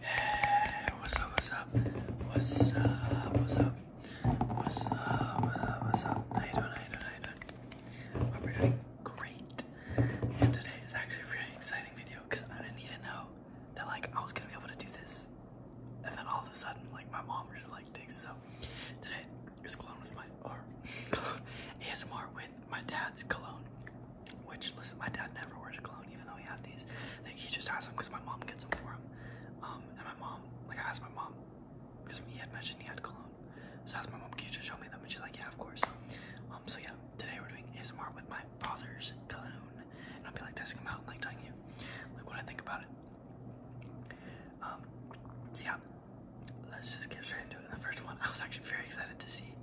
Hey, what's up, what's up? What's up, what's up? What's up, what's up, what's up? How you doing, how you doing, how you doing? Hope you're doing great. And today is actually a really exciting video because I didn't even know that like I was gonna be able to do this. And then all of a sudden, like my mom just like takes this up. Today is cologne with my, or ASMR with my dad's cologne. Which, listen, my dad never wears cologne, even though he has these. he just has them because my mom gets them for him. Um, and my mom, like, I asked my mom because he had mentioned he had cologne. So I asked my mom, "Can you just show me them?" And she's like, "Yeah, of course." Um, so yeah, today we're doing ASMR with my father's cologne, and I'll be like testing them out and like telling you like what I think about it. Um, so yeah, let's just get straight into it. the first one, I was actually very excited to see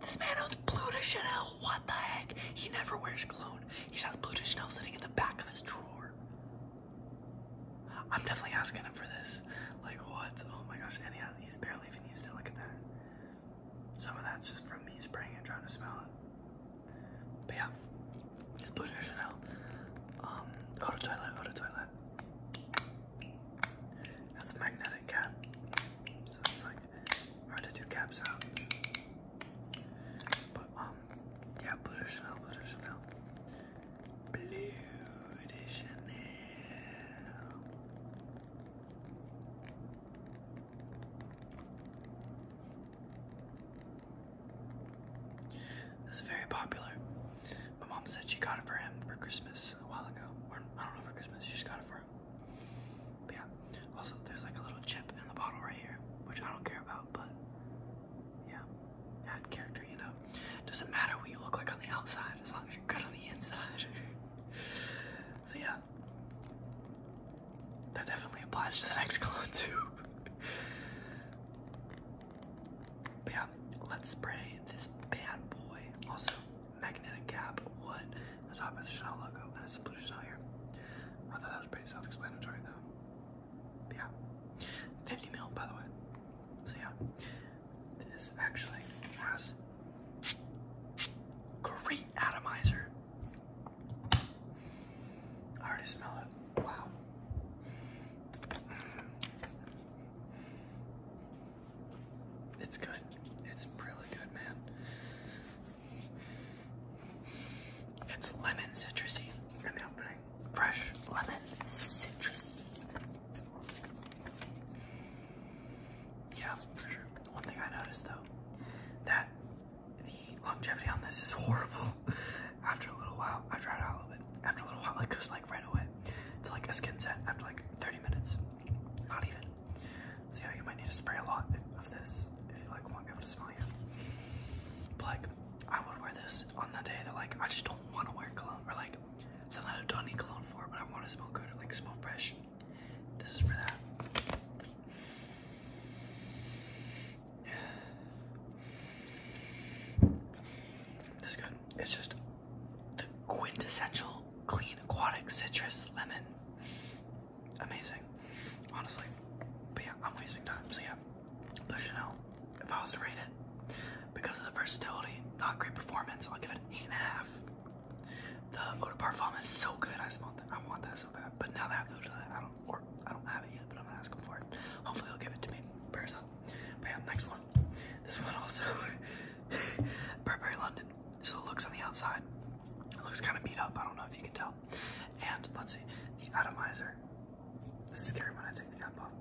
this man owns Blue de Chanel. What the heck? He never wears cologne. He has Blue de Chanel sitting in the back of his drawer. I'm definitely asking him for this. Like what? Oh my gosh! And he's barely even used it. Look at that. Some of that's just from me spraying it, trying to smell it. But yeah, it's Blue de Chanel. Um, eau de toilette, eau de toilette. That's a magnetic cap. So it's like like hard to do caps out. But um, yeah, Blue Chanel, Blue Chanel, Blue Chanel. This is very popular. My mom said she got it for him for Christmas a while ago. I don't know for Christmas. She just got it yeah. Also, there's like a little chip in the bottle right here, which I don't care about, but yeah, add character, you know. Doesn't matter what you look like on the outside as long as you're good on the inside. so yeah, that definitely applies to the next clone too. but let's spray this bad boy. Also, magnetic cap, What? wood, as oppositional logo, and a simple here. I thought that was pretty self-explanatory though. yeah. 50 mil by the way. So yeah. This actually has great atomizer. I already smell it. Wow. It's good. It's really good, man. It's lemon citrusy in the opening. Fresh lemon citrus. Yeah, for sure. One thing I noticed though, that the longevity on this is horrible. after a little while, I tried it out a little After a little while, it goes like right away It's like a skin set after like 30 minutes. Not even. So yeah, you might need to spray a lot of this if you like want people to smell you. like, I would wear this on the day that like I just don't want to wear cologne or like something I don't need cologne for, but I want to smell good or like smell fresh. This is for that. This good. It's just the quintessential clean aquatic citrus lemon amazing, honestly. But yeah, I'm wasting time. So yeah, the Chanel. If I was to rate it, because of the versatility, not great performance, I'll give it an eight and a half. The eau de parfum is so good. I smelled I want that so bad. But now that I have those, I don't work, I don't have it yet. But I'm gonna ask them for it. Hopefully, he will give it to me. Bears next one. This one also. Burberry London. So it looks on the outside. It looks kind of beat up. I don't know if you can tell. And let's see, the atomizer. This is scary when I take the cap off.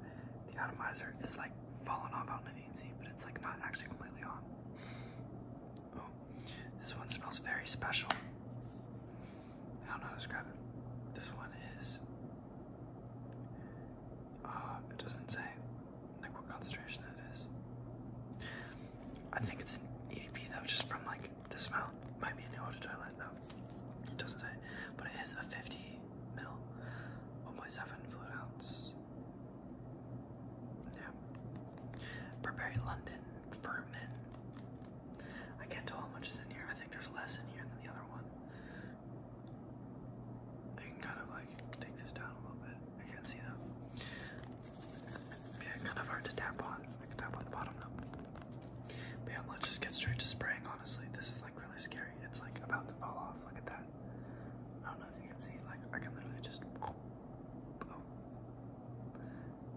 The atomizer is like falling off. I don't know but it's like not actually completely on. Oh, this one smells very special. I don't know how to describe it. This one is. Uh, it doesn't say like what concentration it is. I think it's an EDP though, just from like the smell. Might be a new toilet though. It doesn't say, but it is a 50 mil, 1.7 fluid ounce. Yeah. Burberry London Vermin. I can't tell how much is in here. I think there's less in here than the other one. I can kind of like take this down a little bit. I can't see that. Yeah, kind of hard to tap on. I can tap on the bottom though. But let's just get straight to spraying, honestly. This is like really scary. It's like about to fall off. Look at that. I don't know if you can see, like, I can literally just. Oh.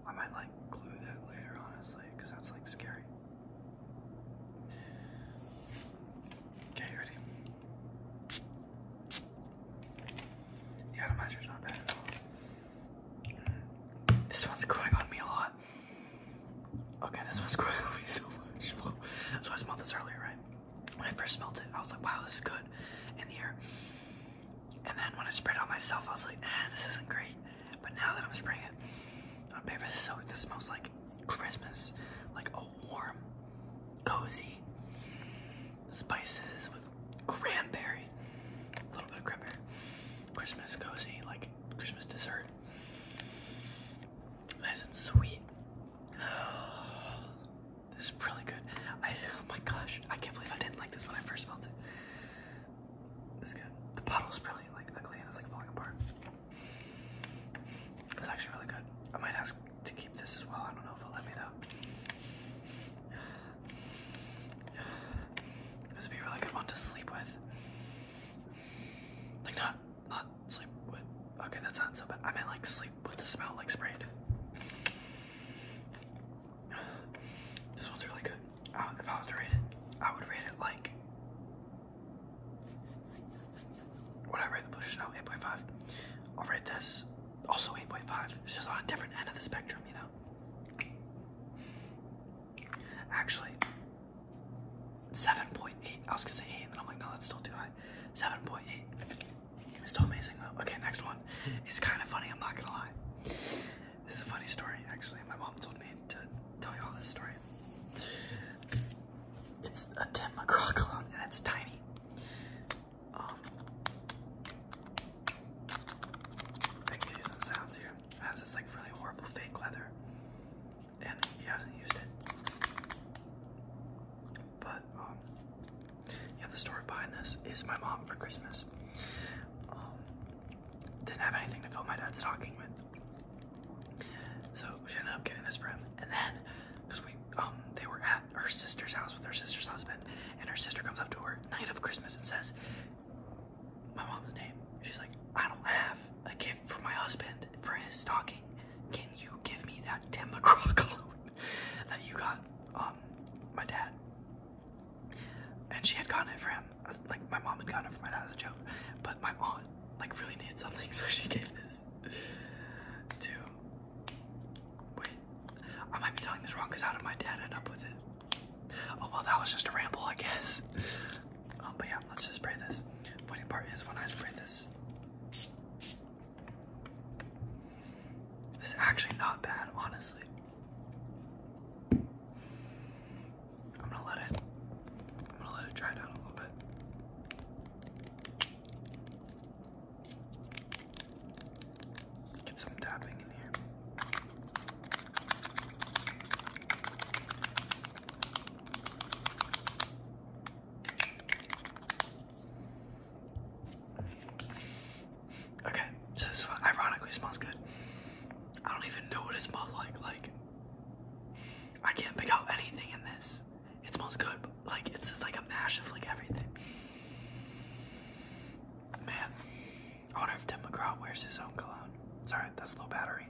I might like glue that later, honestly, because that's like scary. Okay, ready? The atomizer's not bad at all. Mm. This one's growing on me a lot. Okay, this one's growing on me so much. Whoa. So I smelled this earlier, right? When I first smelled it, I was like, wow, this is good in the air. And then when I sprayed it on myself, I was like, eh, this isn't great. But now that I'm spraying it on paper, this, so, this smells like Christmas. Like, oh, warm, cozy spices with cranberry, a little bit of cranberry, Christmas cozy, like Christmas dessert, nice and sweet. this is really good. I, oh my gosh, I can't believe I didn't like this when I first smelled it. It's good. The bottle's really like ugly and it's like falling apart. It's actually really good. I might ask to keep this as well. I don't know if it'll let me though. This would be a really good one to sleep with. Like not not sleep with okay, that sounds so bad. I meant like sleep with the smell like sprayed. This one's really good. Uh, if I was to rate it, I would rate it like what I rate the blue Chanel 8.5. I'll rate this also 8.5. It's just on a different end of the spectrum, you know? Actually, 7.8. I was gonna say 8, and then I'm like, no, that's still too high. 7.8. It's still amazing, Okay, next one. It's kind of funny, I'm not gonna lie. This is a funny story, actually. My mom told me to tell you all this story. It's a Tim McGraw clone, and it's tiny. Um, I can give some sounds here. It has this like really horrible fake leather, and he hasn't used it. But um, yeah, the story behind this is my mom for Christmas. Um, didn't have anything to fill my dad's stocking with, so she ended up getting this for him. And then because we um they were at her sister's house with her sister's husband, and her sister comes up to her night of Christmas and says, "My mom's name." She's like, "I don't have a gift for my husband for his stocking. Can you give me that Tim that you got um my dad?" And she had gotten it for him, like my mom had gotten it for my dad as a joke, but my aunt like really needed something, so she gave this. Two. Wait. I might be telling this wrong because how did my dad end up with it? Oh, well, that was just a ramble, I guess. Um, but yeah, let's just spray this. Funny part is when I spray this, this actually not bad, honestly. I'm gonna let it. I'm gonna let it dry down a little bit. Get some tapping in here. Okay, so this one ironically smells good. I don't even know what it smells like. Like, I can't pick out anything in this. It smells good, but like it's just like a mash of like everything. Man, I wonder if Tim McGraw wears his own cologne. It's that's low battery.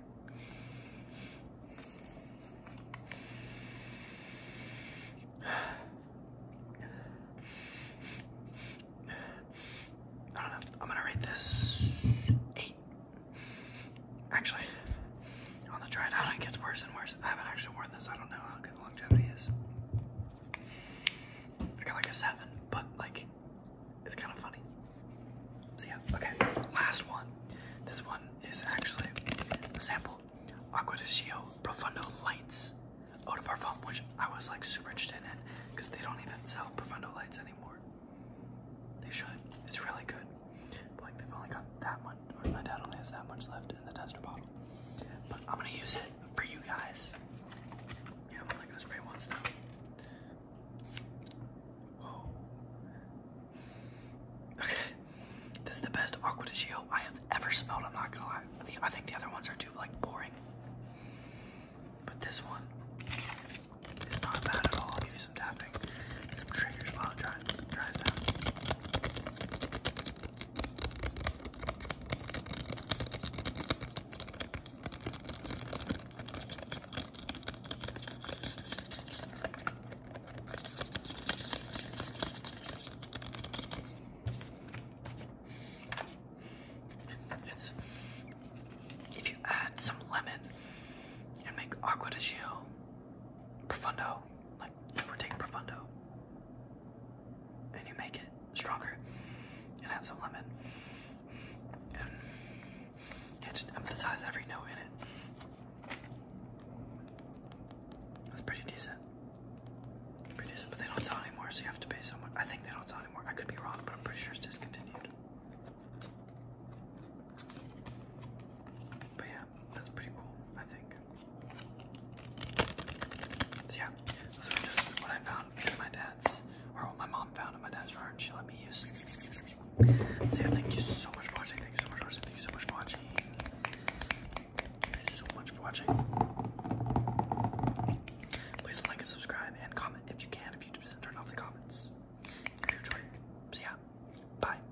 I don't know. I'm gonna rate this eight. Actually, on the dried out, it gets worse and worse. I haven't actually worn this. I don't know how good longevity is. I got like a seven, but like it's kind of funny. So yeah, okay. Last one. This one is actually a sample. Aqua de Gio Profundo Lights Eau de which I was like super interested in because they don't even sell Profundo Lights anymore. They should. It's really good like they've only got that much, my dad only has that much left in the tester bottle. But I'm gonna use it for you guys. Yeah, I'm spray once now. Whoa. Okay, this is the best Aqua de Gio I have ever smelled. I'm not gonna lie. I think the other ones are too like boring, but this one is not bad at all. I'll give you some tapping, some triggers while it dries try it. out. It's if you add some lemon and make agua de gio profundo like if we're taking Profundo and you make it stronger and add some lemon and yeah, just emphasize every note in it. That's pretty decent. Pretty decent, but they don't sell anymore, so you have to pay so I think they don't sell anymore. I could be wrong, but I'm pretty sure it's discontinued. But yeah, that's pretty cool, I think. yeah, those were just what I found my dad's, or what my mom found at my dad's yard, she let me use. So thank you so much for watching, thank you so much for watching, thank you so much for watching. Please like and subscribe and comment if you can, if YouTube doesn't turn off the comments. If you bye.